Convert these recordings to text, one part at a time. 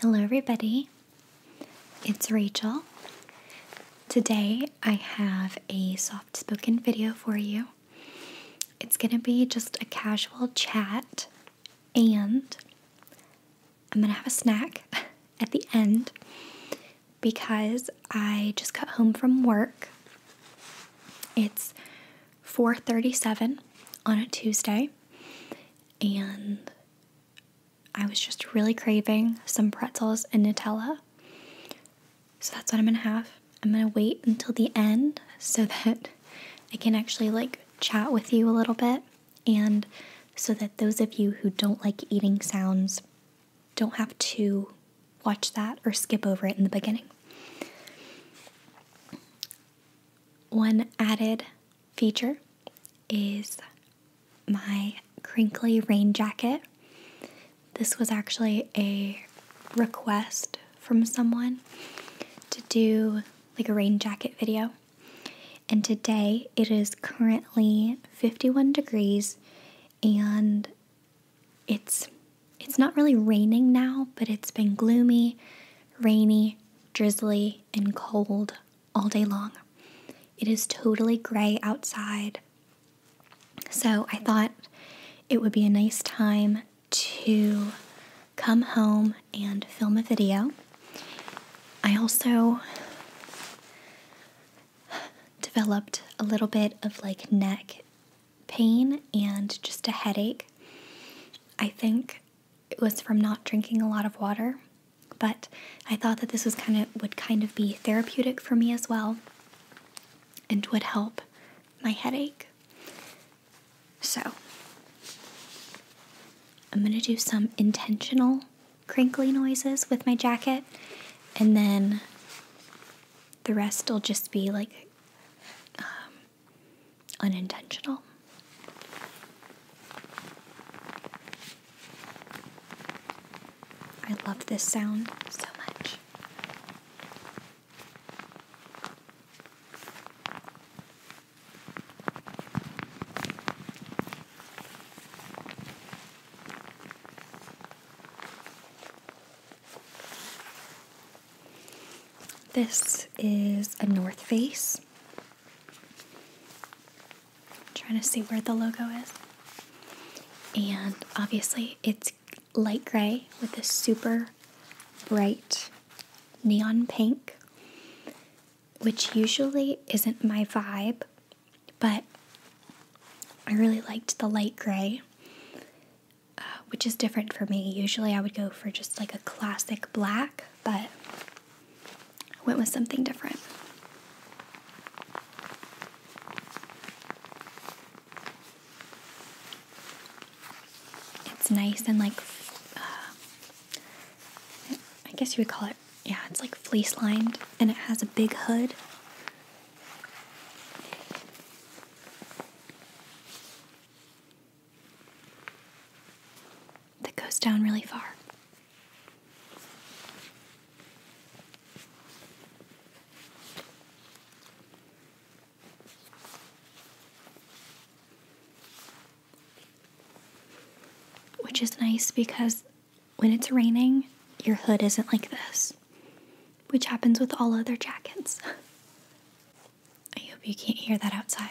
Hello, everybody. It's Rachel. Today I have a soft spoken video for you. It's going to be just a casual chat, and I'm going to have a snack at the end because I just got home from work. It's 4:37 on a Tuesday and I was just really craving some pretzels and Nutella. So that's what I'm gonna have. I'm gonna wait until the end so that I can actually like chat with you a little bit and so that those of you who don't like eating sounds don't have to watch that or skip over it in the beginning. One added feature is my crinkly rain jacket. This was actually a request from someone to do like a rain jacket video. And today it is currently 51 degrees and it's it's not really raining now, but it's been gloomy, rainy, drizzly, and cold all day long. It is totally gray outside. So I thought it would be a nice time to come home and film a video. I also developed a little bit of like neck pain and just a headache. I think it was from not drinking a lot of water, but I thought that this was kind of would kind of be therapeutic for me as well and would help my headache. So, I'm going to do some intentional crinkly noises with my jacket and then the rest will just be like um, unintentional. I love this sound so much. This is a North Face trying to see where the logo is. And obviously, it's light gray with a super bright neon pink, which usually isn't my vibe, but I really liked the light gray, uh, which is different for me. Usually, I would go for just like a classic black, but I went with something different. It's nice and like, uh, I guess you would call it, yeah, it's like fleece lined and it has a big hood that goes down really far. Which is nice because when it's raining, your hood isn't like this, which happens with all other jackets. I hope you can't hear that outside.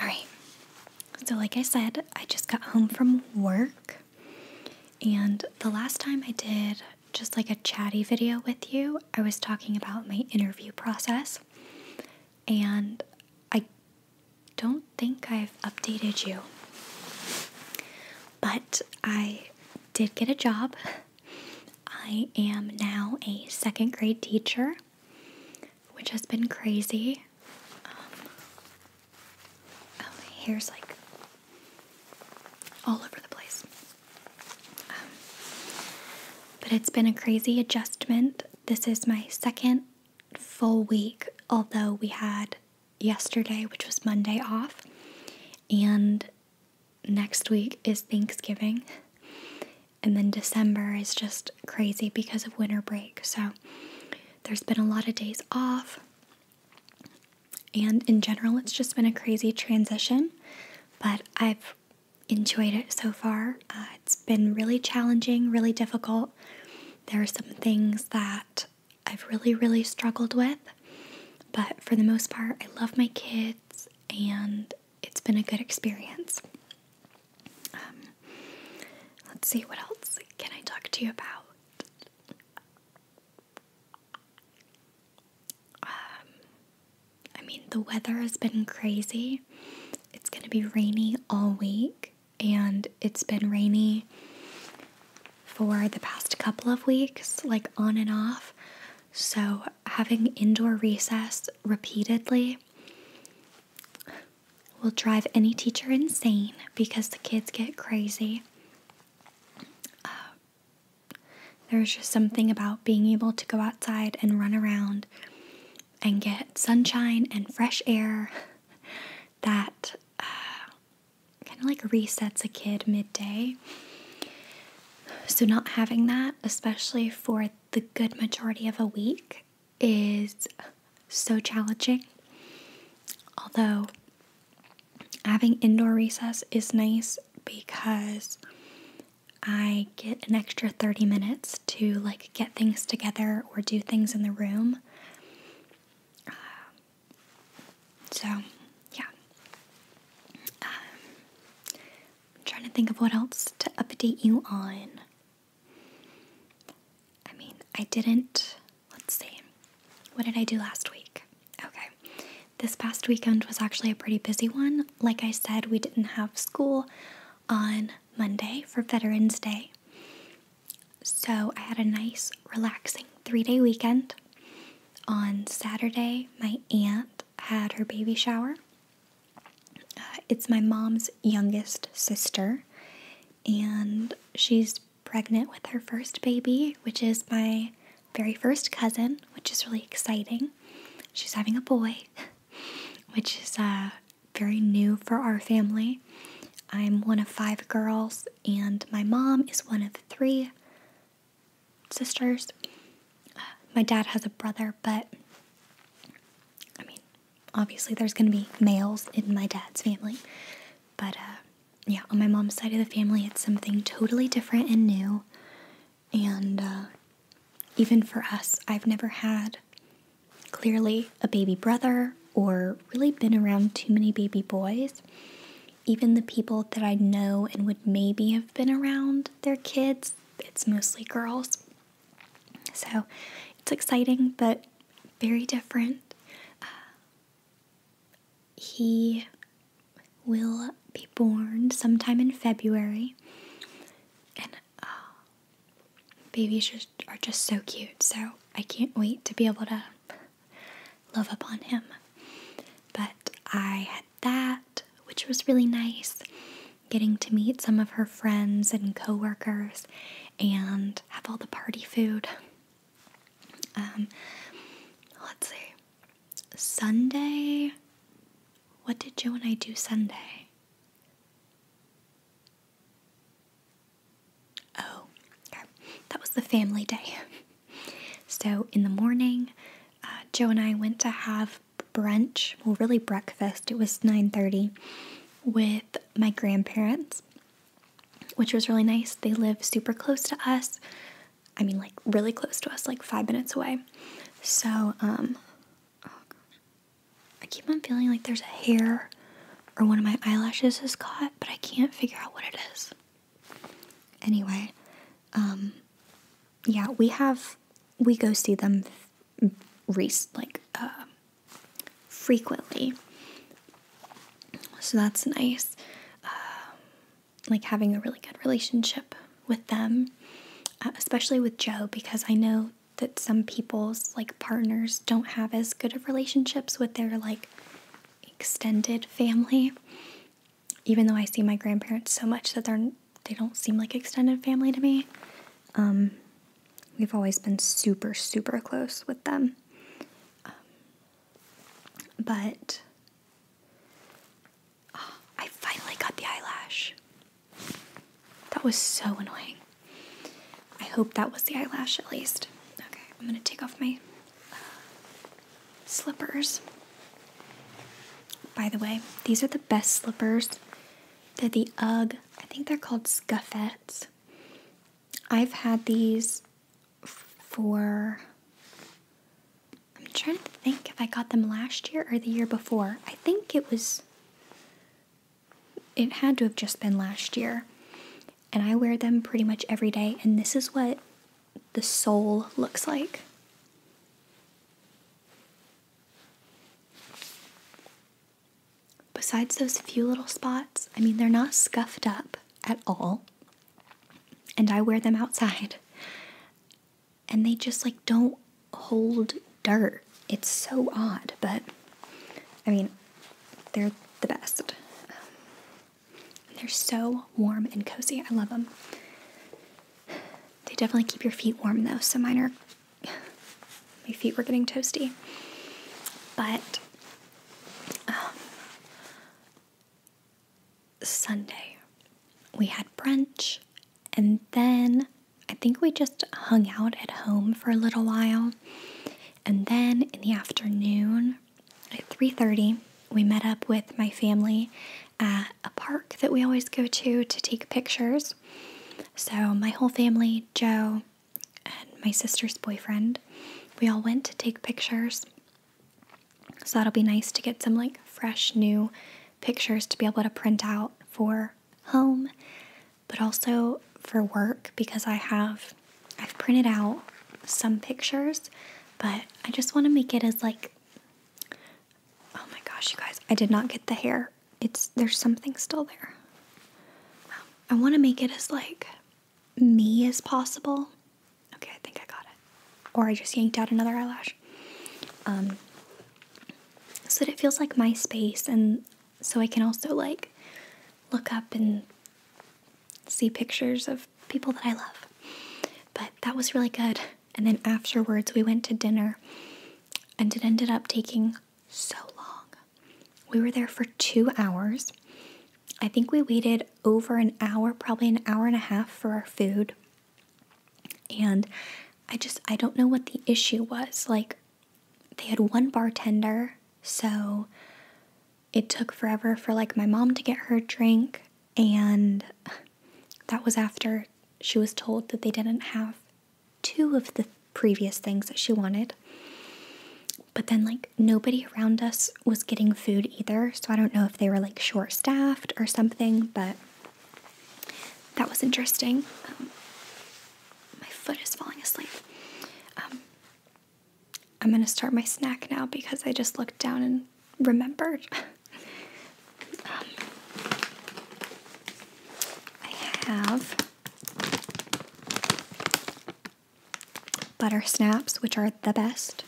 All right. So, like I said, I just got home from work. And the last time I did just like a chatty video with you, I was talking about my interview process. And I don't think I've updated you. But I did get a job. I am now a second grade teacher, which has been crazy. Um, oh, my hair's like all over the place. Um, but it's been a crazy adjustment. This is my second full week, although we had yesterday, which was Monday, off. And next week is Thanksgiving. And then December is just crazy because of winter break. So there's been a lot of days off. And in general, it's just been a crazy transition. But I've enjoyed it so far. Uh, it's been really challenging, really difficult. There are some things that I've really, really struggled with, but for the most part, I love my kids and it's been a good experience. Um, let's see, what else can I talk to you about? Um, I mean, the weather has been crazy. It's going to be rainy all week, and it's been rainy for the past couple of weeks, like on and off. So, having indoor recess repeatedly will drive any teacher insane because the kids get crazy. Uh, there's just something about being able to go outside and run around and get sunshine and fresh air that uh, kind of like resets a kid midday. So, not having that, especially for the good majority of a week, is so challenging. Although, having indoor recess is nice because I get an extra 30 minutes to like get things together or do things in the room. Uh, so, yeah. Um, trying to think of what else to update you on. I mean, I didn't. Let's see. What did I do last week? Okay. This past weekend was actually a pretty busy one. Like I said, we didn't have school on Monday for Veterans Day. So I had a nice, relaxing three day weekend. On Saturday, my aunt had her baby shower. Uh, it's my mom's youngest sister, and she's pregnant with her first baby, which is my very first cousin, which is really exciting. She's having a boy, which is uh, very new for our family. I'm one of five girls, and my mom is one of three sisters. my dad has a brother, but I mean, obviously, there's going to be males in my dad's family. But uh, yeah, on my mom's side of the family, it's something totally different and new. And uh, even for us, I've never had clearly a baby brother or really been around too many baby boys. Even the people that I know and would maybe have been around their kids, it's mostly girls. So it's exciting, but very different. Uh, he will be born sometime in February. And uh, Babies are just so cute, so I can't wait to be able to love up on him. But I had that, which was really nice. Getting to meet some of her friends and coworkers, and have all the party food. Um, let's see. Sunday. What did Joe and I do Sunday? Oh, That was the family day. So in the morning, uh, Joe and I went to have brunch, well, really breakfast. It was 9:30 with my grandparents, which was really nice. They live super close to us. I mean, like really close to us, like five minutes away. So, um, oh, I keep on feeling like there's a hair or one of my eyelashes is caught, but I can't figure out what it is. Anyway, um, yeah, we have, we go see them like uh, frequently. So that's nice. Uh, like having a really good relationship with them, uh, especially with Joe, because I know that some people's like partners don't have as good of relationships with their like extended family. Even though I see my grandparents so much that they're they don't seem like extended family to me. Um, we've always been super super close with them. Um, but oh, I finally got the eyelash. That was so annoying. I hope that was the eyelash at least. Okay, I'm gonna take off my uh, slippers. By the way, these are the best slippers. They're the UGG, I think they're called scuffets. I've had these for, I'm trying to think if I got them last year or the year before. I think it was it had to have just been last year. And I wear them pretty much every day, and this is what the sole looks like. Besides those few little spots, I mean, they're not scuffed up at all. And I wear them outside. And they just like don't hold dirt. It's so odd, but I mean, they're the best. Um, they're so warm and cozy. I love them. They definitely keep your feet warm though, so mine are. my feet were getting toasty. But um, Sunday, we had brunch and then I think we just hung out at home for a little while. And then in the afternoon at 3:30, we met up with my family at a park that we always go to to take pictures. So my whole family, Joe and my sister's boyfriend, we all went to take pictures. So that'll be nice to get some like fresh new pictures to be able to print out for home but also for work because I have I've printed out some pictures, but I just want to make it as like Oh my gosh, you guys, I did not get the hair. It's there's something still there. I want to make it as like me as possible. Okay, I think I got it. Or I just yanked out another eyelash. Um so that it feels like my space and so I can also like look up and see pictures of people that I love. But that was really good. And then afterwards, we went to dinner and it ended up taking so long. We were there for two hours. I think we waited over an hour, probably an hour and a half for our food. And I just, I don't know what the issue was. Like, they had one bartender, so it took forever for like my mom to get her drink and that was after she was told that they didn't have two of the previous things that she wanted. But then, like, nobody around us was getting food either. So I don't know if they were like short staffed or something, but that was interesting. Um, my foot is falling asleep. Um, I'm gonna start my snack now because I just looked down and remembered. Um, I have butter snaps, which are the best.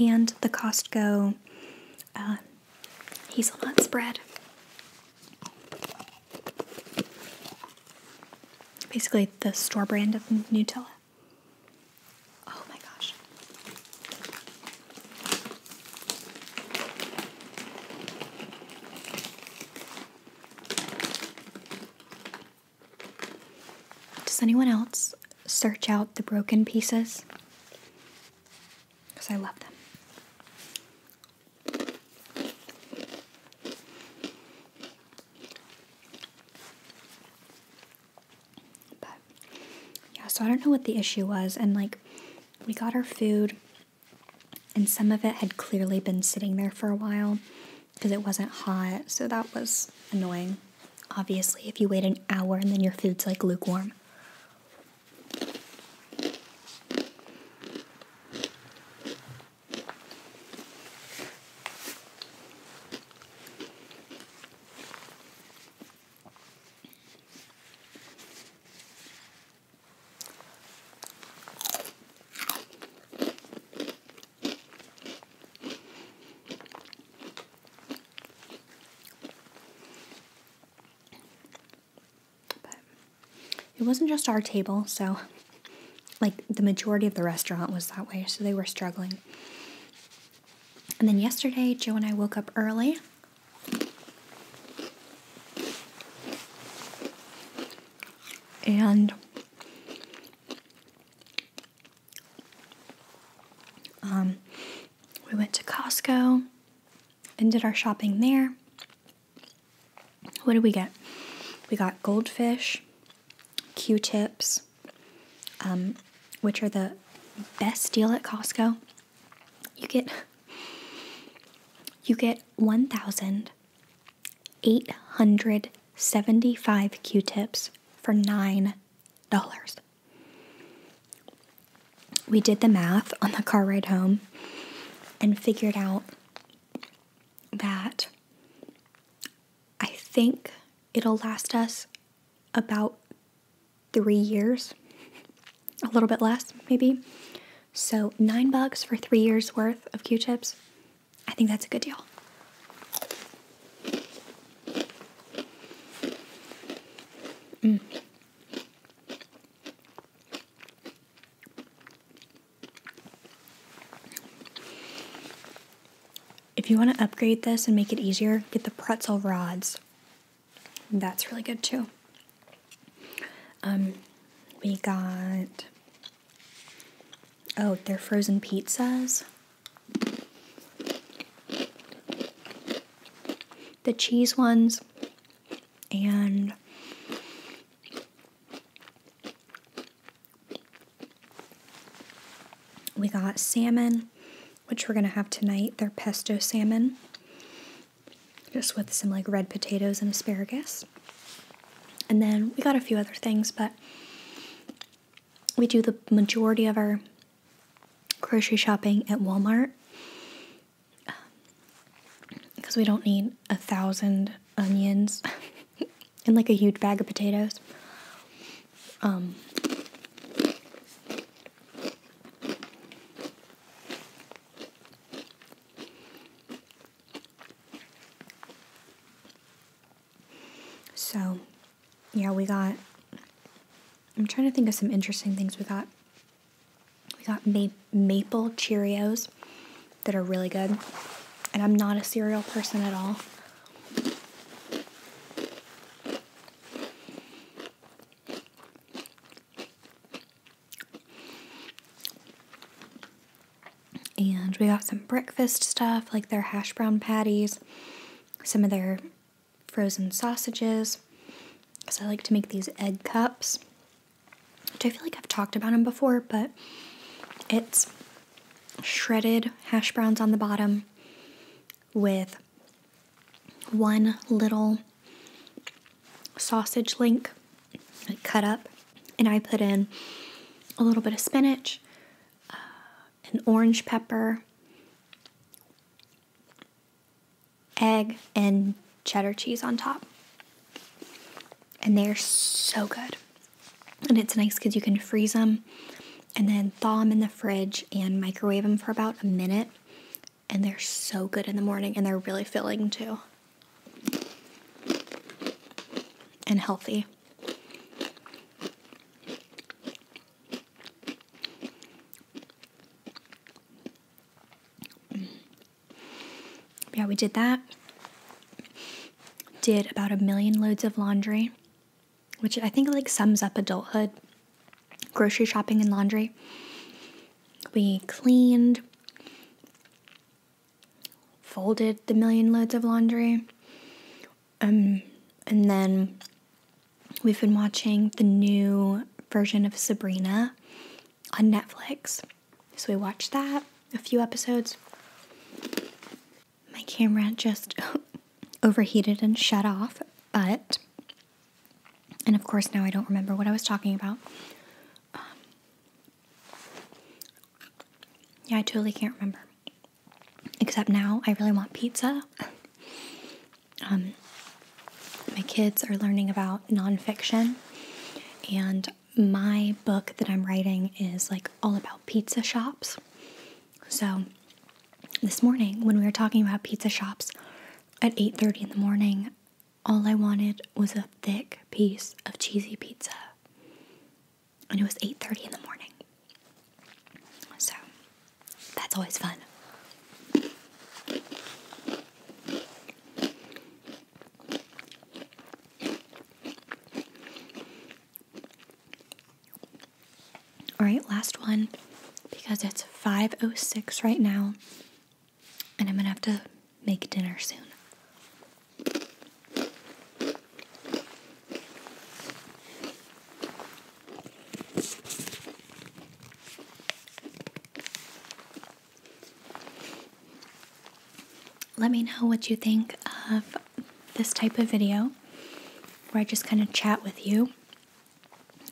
And the Costco uh, hazelnut spread. Basically, the store brand of Nutella. Oh my gosh. Does anyone else search out the broken pieces? Because I love them yeah, so I don't know what the issue was. And like, we got our food, and some of it had clearly been sitting there for a while because it wasn't hot. So that was annoying, obviously, if you wait an hour and then your food's like lukewarm it wasn't just our table, so like the majority of the restaurant was that way, so they were struggling. And then yesterday, Joe and I woke up early. And um, we went to Costco and did our shopping there. What did we get? We got goldfish, Q tips, um, which are the best deal at Costco. You get you get 1,875 Q-tips for $9. We did the math on the car ride home and figured out that I think it'll last us about three years, a little bit less maybe. So nine bucks for three years worth of Q-tips. I think that's a good deal. If you want to upgrade this and make it easier, get the pretzel rods. That's really good too. Um, we got, oh, they're frozen pizzas. The cheese ones and we got salmon, which we're going to have tonight. They're pesto salmon, just with some like red potatoes and asparagus. And then we got a few other things, but we do the majority of our grocery shopping at Walmart because um, we don't need a thousand onions and like a huge bag of potatoes. Um, so, yeah, we got. I'm trying to think of some interesting things we got. We got maple Cheerios that are really good, and I'm not a cereal person at all. And we got some breakfast stuff like their hash brown patties, some of their frozen sausages, because I like to make these egg cups, which I feel like I've talked about them before, but it's shredded hash browns on the bottom with one little sausage link cut up, and I put in a little bit of spinach, uh, an orange pepper, egg, and cheddar cheese on top. And they're so good. And it's nice because you can freeze them and then thaw them in the fridge and microwave them for about a minute. And they're so good in the morning and they're really filling too. And healthy. Yeah, we did that. Did about a million loads of laundry which I think like sums up adulthood grocery shopping and laundry. We cleaned, folded the million loads of laundry. Um, and then we've been watching the new version of Sabrina on Netflix. So we watched that, a few episodes my camera just overheated and shut off, but, and of course now I don't remember what I was talking about. Um, yeah, I totally can't remember. Except now I really want pizza. Um, my kids are learning about nonfiction, and my book that I'm writing is like all about pizza shops. So this morning when we were talking about pizza shops at 8:30 in the morning, all I wanted was a thick piece of cheesy pizza. And it was 8:30 in the morning. So, that's always fun. All right, last one because it's 5:06 right now and I'm going to have to make dinner soon. Let me know what you think of this type of video where I just kind of chat with you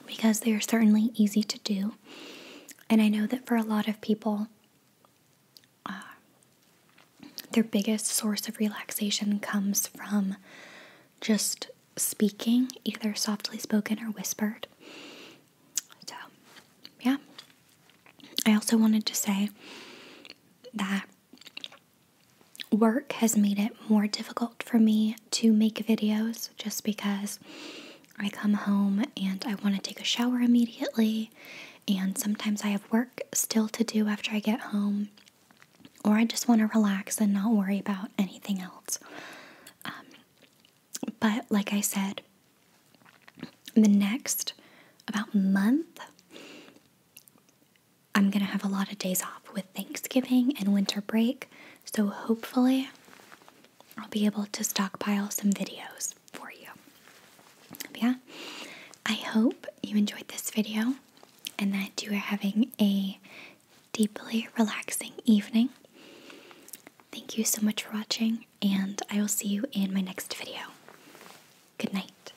because they are certainly easy to do. And I know that for a lot of people, uh, their biggest source of relaxation comes from just speaking, either softly spoken or whispered. So, yeah. I also wanted to say that work has made it more difficult for me to make videos just because I come home and I want to take a shower immediately, and sometimes I have work still to do after I get home, or I just want to relax and not worry about anything else. Um, but like I said, the next about month I'm going to have a lot of days off with Thanksgiving and winter break, so hopefully I'll be able to stockpile some videos for you. yeah, I hope you enjoyed this video and that you are having a deeply relaxing evening. Thank you so much for watching, and I will see you in my next video. Good night.